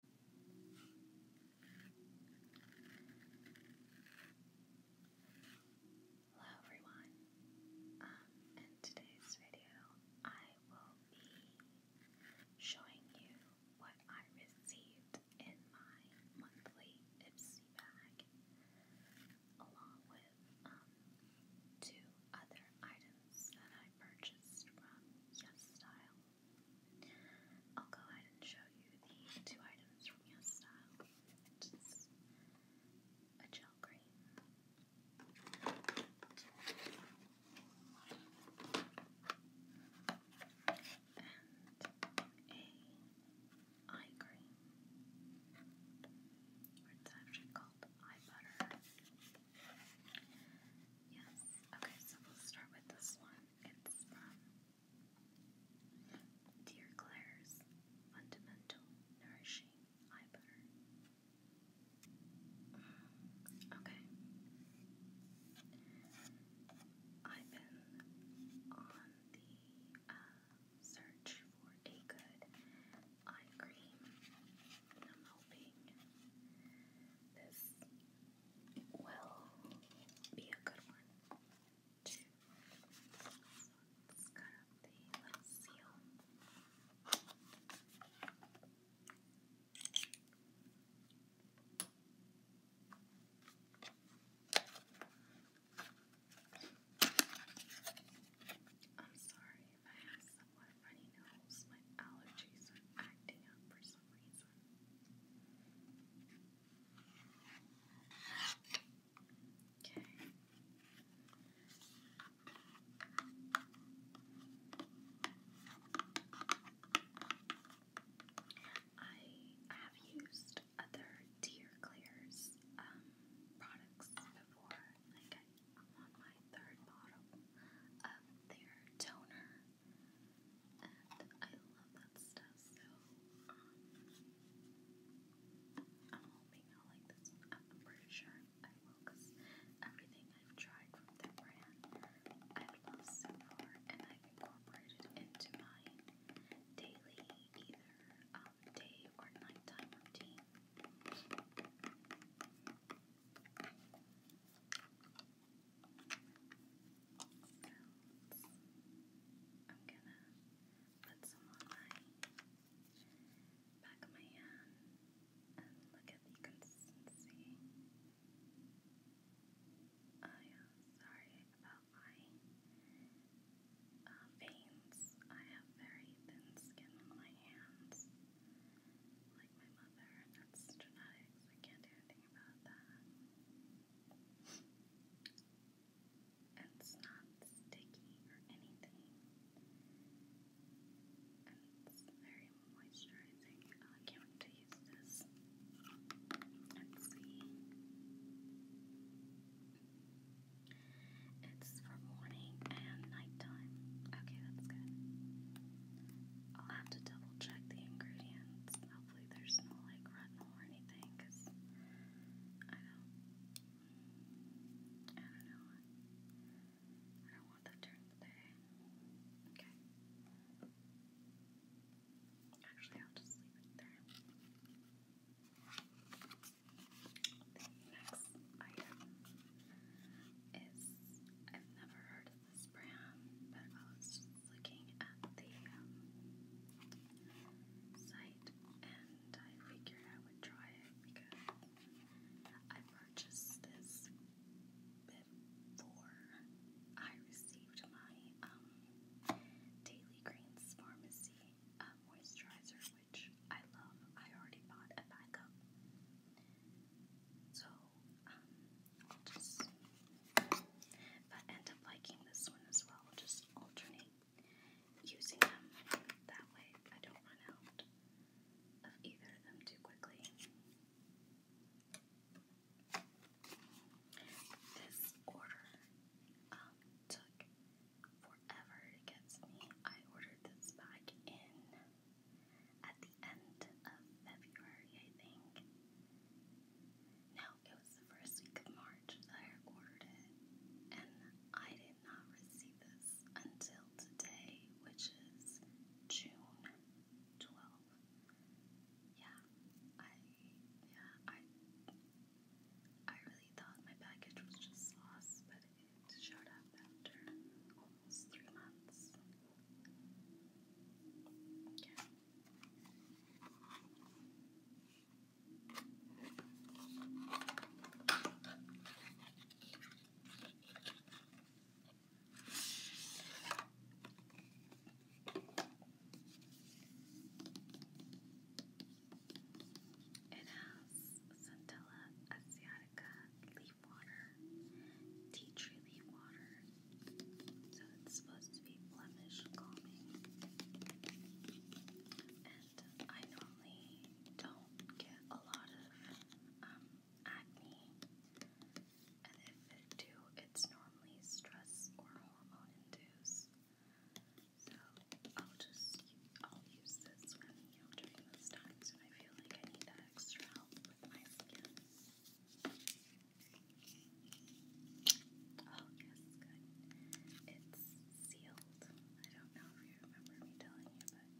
Hello everyone. Um, in today's video, I will be showing you what I received in my monthly Ipsy bag, along with um, two other items that I purchased from YesStyle. I'll go ahead and show you the two items from Yes a gel cream and a eye cream, it's actually called eye butter. Yes, okay, so we'll start with this one. It's um, Dear Claire's Fundamental Nourishing Eye Butter. Okay. I've been on the uh, search for a good eye cream. I'm hoping this will be a good one too. So let seal. I'm sorry if I have somewhat runny nose. My allergies are acting up for some reason. Okay. I have used other tear um, products before. Like I'm on my third bottle of their toner. And I love that stuff, so I'm hoping i like this one. I'm pretty sure I will, because everything I've tried from their brand I've loved so far, and I've incorporated into my daily, either um, day or nighttime routine. Felt. I'm gonna put some on my back of my hand and look at the consistency. Oh yeah, sorry about my veins. I have very thin skin on my hands, like my mother, that's genetics. I can't do anything about that. It's not sticky or anything. it's very moisturizing. I can't to use this. Let's see. It's for morning and nighttime. Okay, that's good. I'll have to double check the ingredients hopefully there's no like retinal or anything because I don't, know. I don't want them during the day. Okay. Actually, I'll just leave it there. The next item is I've never heard this brand, but I was just looking at the site and I figured I would try it because I purchased this before I received my Daily Greens Pharmacy uh, moisturizer, which I love. I already bought a backup. So um, i end up liking this one as well, just alternate using them. That way I don't run out of either of them too quickly. This order um, took forever to get to me. I ordered this back in at the end of February, I think. Now, it was the first week of March I ordered it, and I did not receive this until today, which is June 12th. Yeah, I, yeah, I, I really thought my package was just lost, but it showed up after almost three months. Yeah. It has Centella asiatica leaf water, tea tree leaf water, so it's supposed to be blemish calming. And I normally don't get a lot of um, acne. And if I do, it's normally stress or hormone induced. So I'll just, I'll use this when, you know, during those times when I feel like I need that extra help with my skin. Oh, yes, good. It's sealed. I don't know if you remember me telling you, but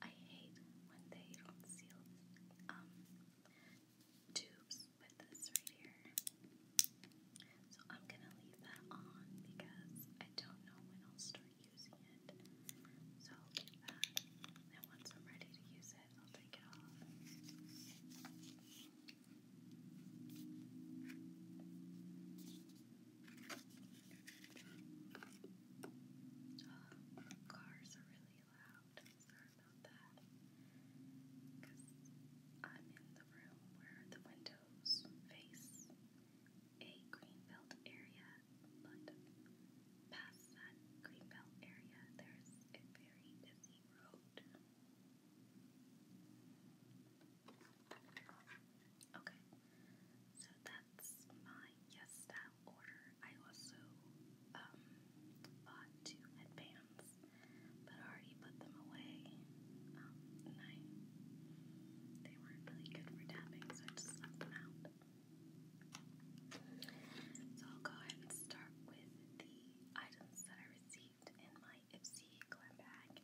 I hate when they don't seal tubes with this right here. So I'm gonna leave that on because I don't know when I'll start using it. So I'll leave that. And once I'm ready to use it, I'll take it off. Oh, cars are really loud. Sorry about that. I'm in the room where the windows face a greenbelt area, but past that greenbelt area, there's a very busy road. Okay, so that's my Yes Style order. I also um, bought two headbands, but I already put them away. Um, and I, they weren't really good for tapping, so I just left them out. So I'll go ahead and start with the items that I received received in my Ipsy glam bag.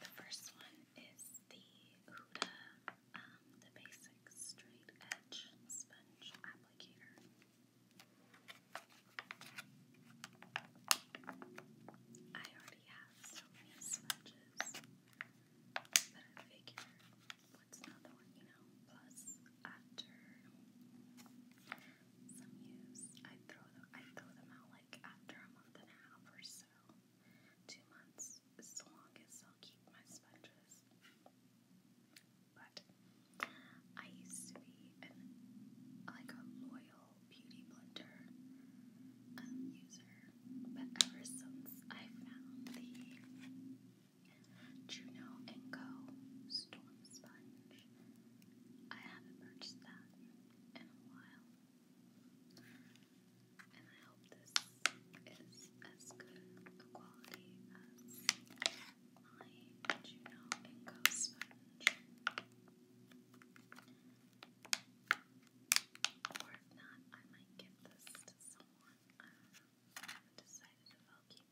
The first one is the Huda, um, the basic straight edge sponge applicator. I already have so many sponges that I figure what's another one, you know? Plus, after some use, I throw I throw them out like after a month and a half or so, two months, as long as I'll keep my sponges. But I used to be an like a loyal beauty blender um, user, but ever since I found the Juno & Co. Storm Sponge. I haven't purchased that in a while. And I hope this is as good a quality as my Juno & Co. sponge. Or if not, I might give this to someone. I haven't decided if I'll keep you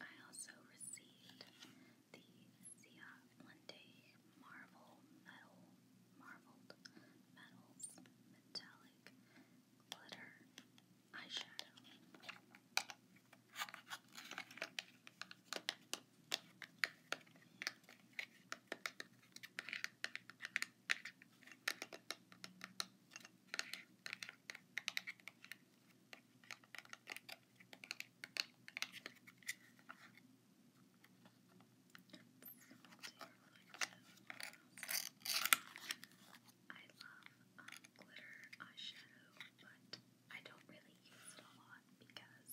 I also received the Zia One Marvel Medal, Marveled Medals, metallic glitter eyeshadow. I love glitter eyeshadow, but I don't really use it a lot because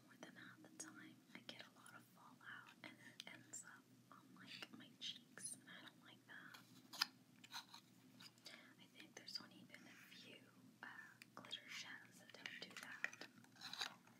more than half the time I get a lot of fallout and it ends up on like my cheeks, and I don't like that. I think there's only been a few glitter shadows that don't do that.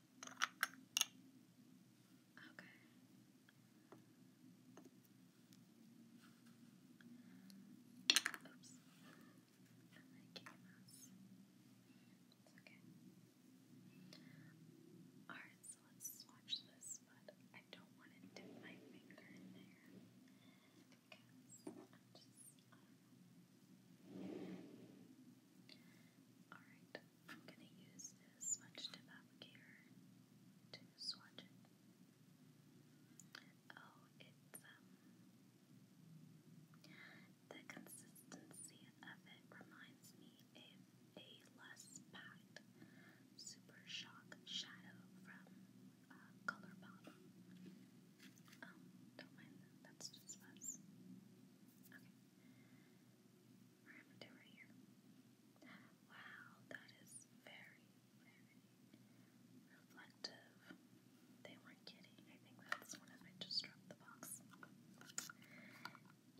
Okay. Oops. Alright, so let's swatch this, but I don't want to dip my finger in there Alright, I'm going to use this sponge applicator to swatch it. Oh, it's, um, the consistency of it reminds me of a less packed Super Shock shadow from uh, Colourpop. Um, don't mind that, that's just us. Okay. Or am Wow, that is very, very reflective. They were kidding. I think that's one of I just dropped the box.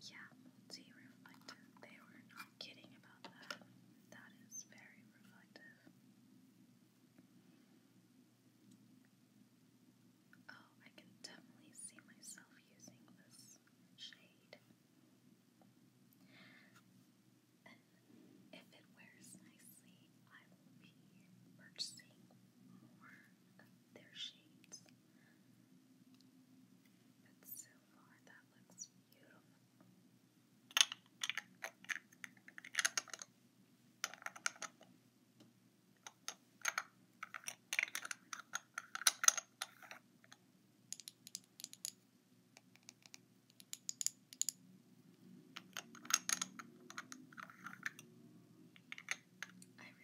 Yeah, multi-reflective. They were not kidding about that. That is very reflective. Oh, I can definitely see myself using this shade. And if it wears nicely, I will be purchasing more of their shades. But so far, that looks beautiful. I really like the lead sound, so I'll mess um, with this a little bit longer. I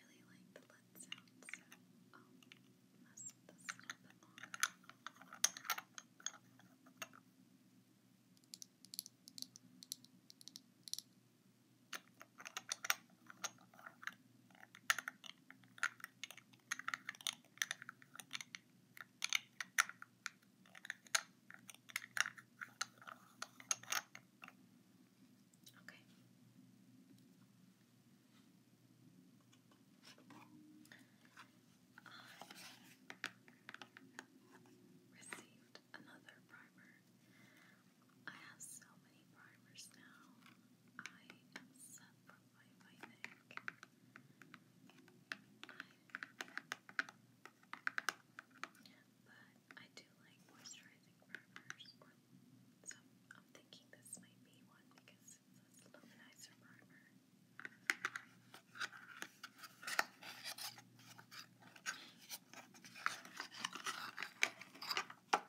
Okay. I received another primer. I have so many primers now. I am set for life, I think. but I do like moisturizing primers. Or I'm thinking this might be one because it's a luminizer primer.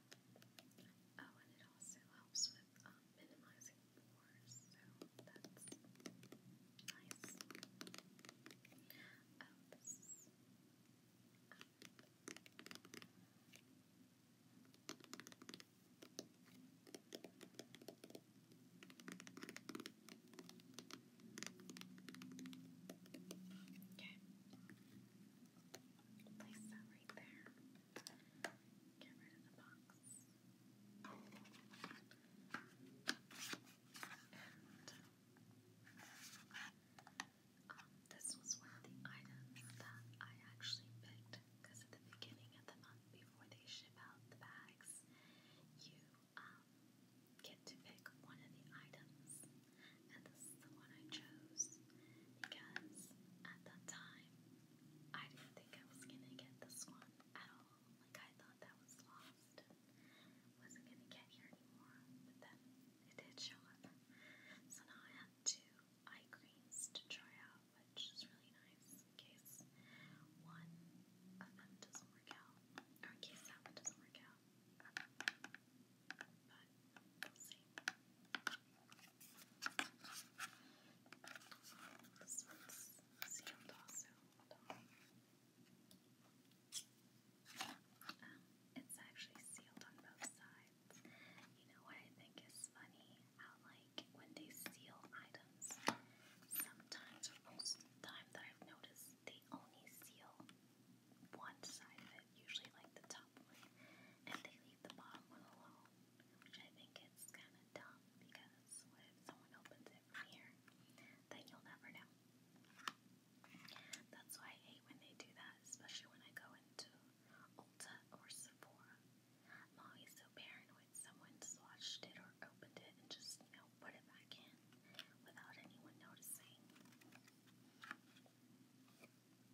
Oh, and it also helps with um, minimizing pores, that's nice. Okay. Place um, this was one of the items that I actually picked because at the beginning of the month, before they ship out the bags, you um, get to pick one of the items and this is the one I chose because at that time I didn't think I was gonna get this one at all. Like I thought that was lost wasn't gonna get here anymore, but then it did show up. So now I have two eye creams to try out, which is really nice in case one of them doesn't work out, or in case that doesn't work out. But it's actually sealed on both sides. You know I think is funny? How like when they seal items, sometimes or most time that I've noticed they only seal one side of it, usually like the top one, and they leave the bottom one alone, which I think is kind of dumb because if someone opens it here? Then you'll never know. That's why I hate when they do that, especially when I go into Ulta or Sephora. I'm always so paranoid someone swatched it or opened it and just, you know, put it back in without anyone noticing. So I'm glad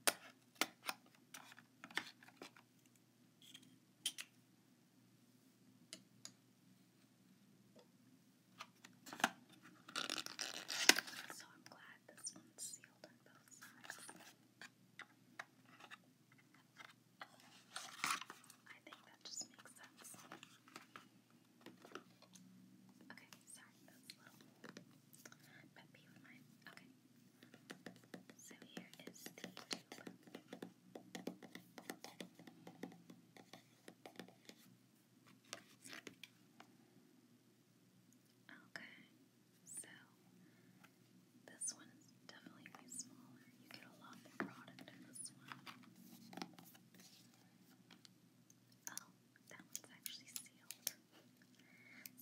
this one's sealed on both sides. I think that just makes sense. Okay, sorry, that's a little pet peeve of mine. Okay, so here is the Okay, so this one is definitely way smaller. You get a lot more product in this one. Oh, that one's actually sealed. So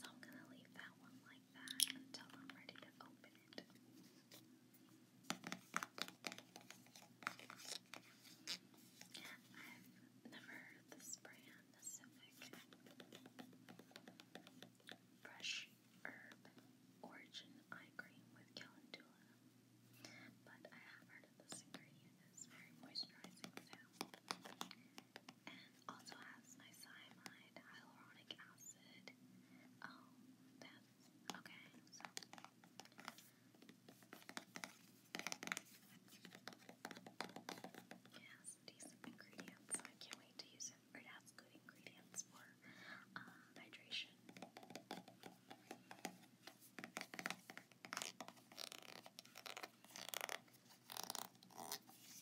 I'm going to leave that one like that until I'm ready to open it. I've never heard this brand, Pacific Fresh Herb Origin Eye Cream with Calendula. But I have heard of this ingredient. It's very moisturizing also has niacinamide, hyaluronic acid. Oh, that's okay. it has decent ingredients. I can't wait to use it. Or it ingredients for um, hydration.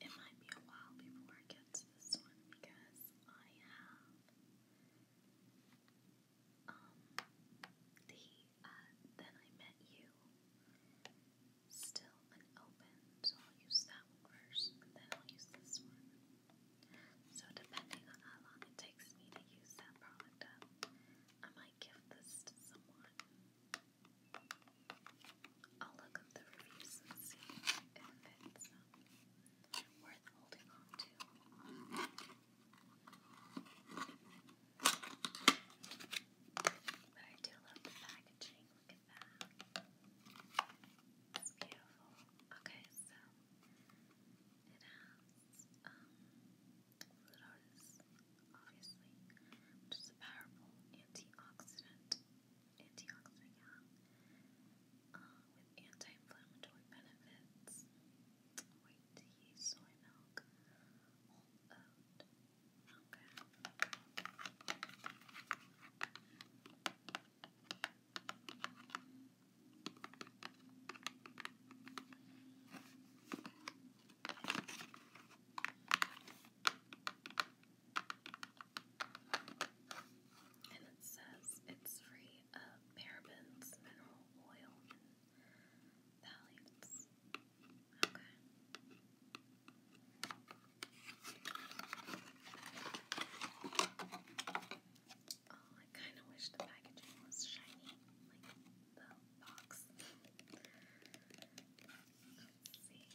It might be a while before I get to this one because I have um the uh, then I met you still unopened, I'll use that one first then I'll use this one. So depending on how long it takes me to use that product up, I might give this to someone. I'll look up the reviews and see if it's um, worth holding on to. But I do love the packaging. Look at that. It's beautiful. Okay, so it has um Flutoris, obviously, which is a powerful antioxidant antioxidant, yeah, with anti-inflammatory benefits. White soy milk, and it says it's free of parabens, mineral oil, and phthalates. Okay. Oh, I kind of wish the packaging was shiny, like the box. see.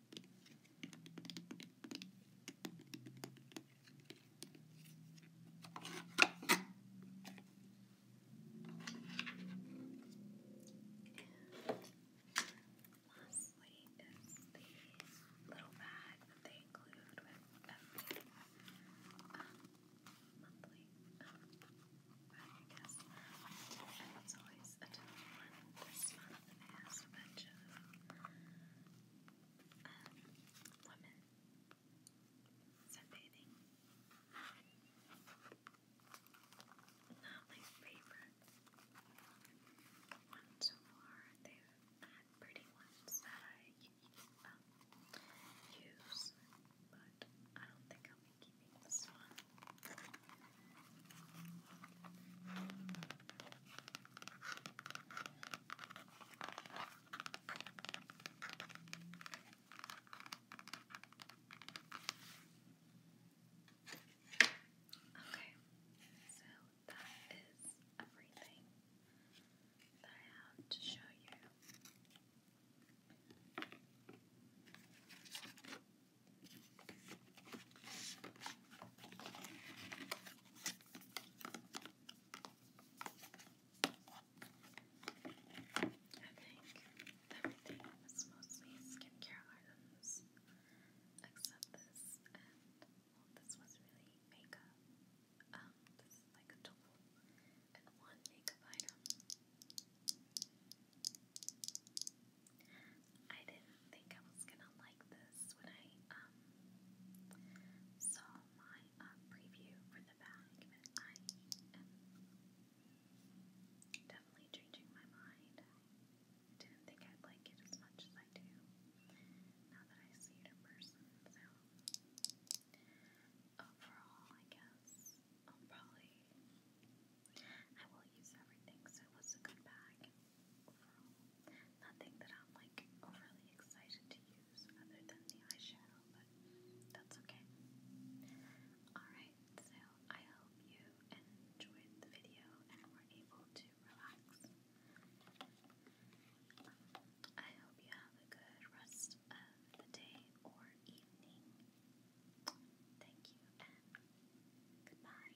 Lastly is the little bag that they include with everything um, monthly um, bag, I guess. And it's always a different one. This month it has a bunch of um, women sunbathing. Not my favorite one so far. They've had pretty ones that I use, but I don't think I'll be keeping this one. Okay, so that is everything that I have to show you think everything is mostly skincare items, except this, and this was really makeup. Um, this like a tool and one makeup item. I didn't think I was gonna like this when I um, saw my uh, preview for the bag, I am definitely changing my mind. didn't think I'd like it as much as I do now that I see it in person, so overall, I guess I'll probably. I will use everything, so it was a good bag. Nothing that I'm like overly excited to use other than the eyeshadow, but that's okay. Alright, so I hope you enjoyed the video and were able to relax. I hope you have a good rest of the day or evening. Thank you and goodbye.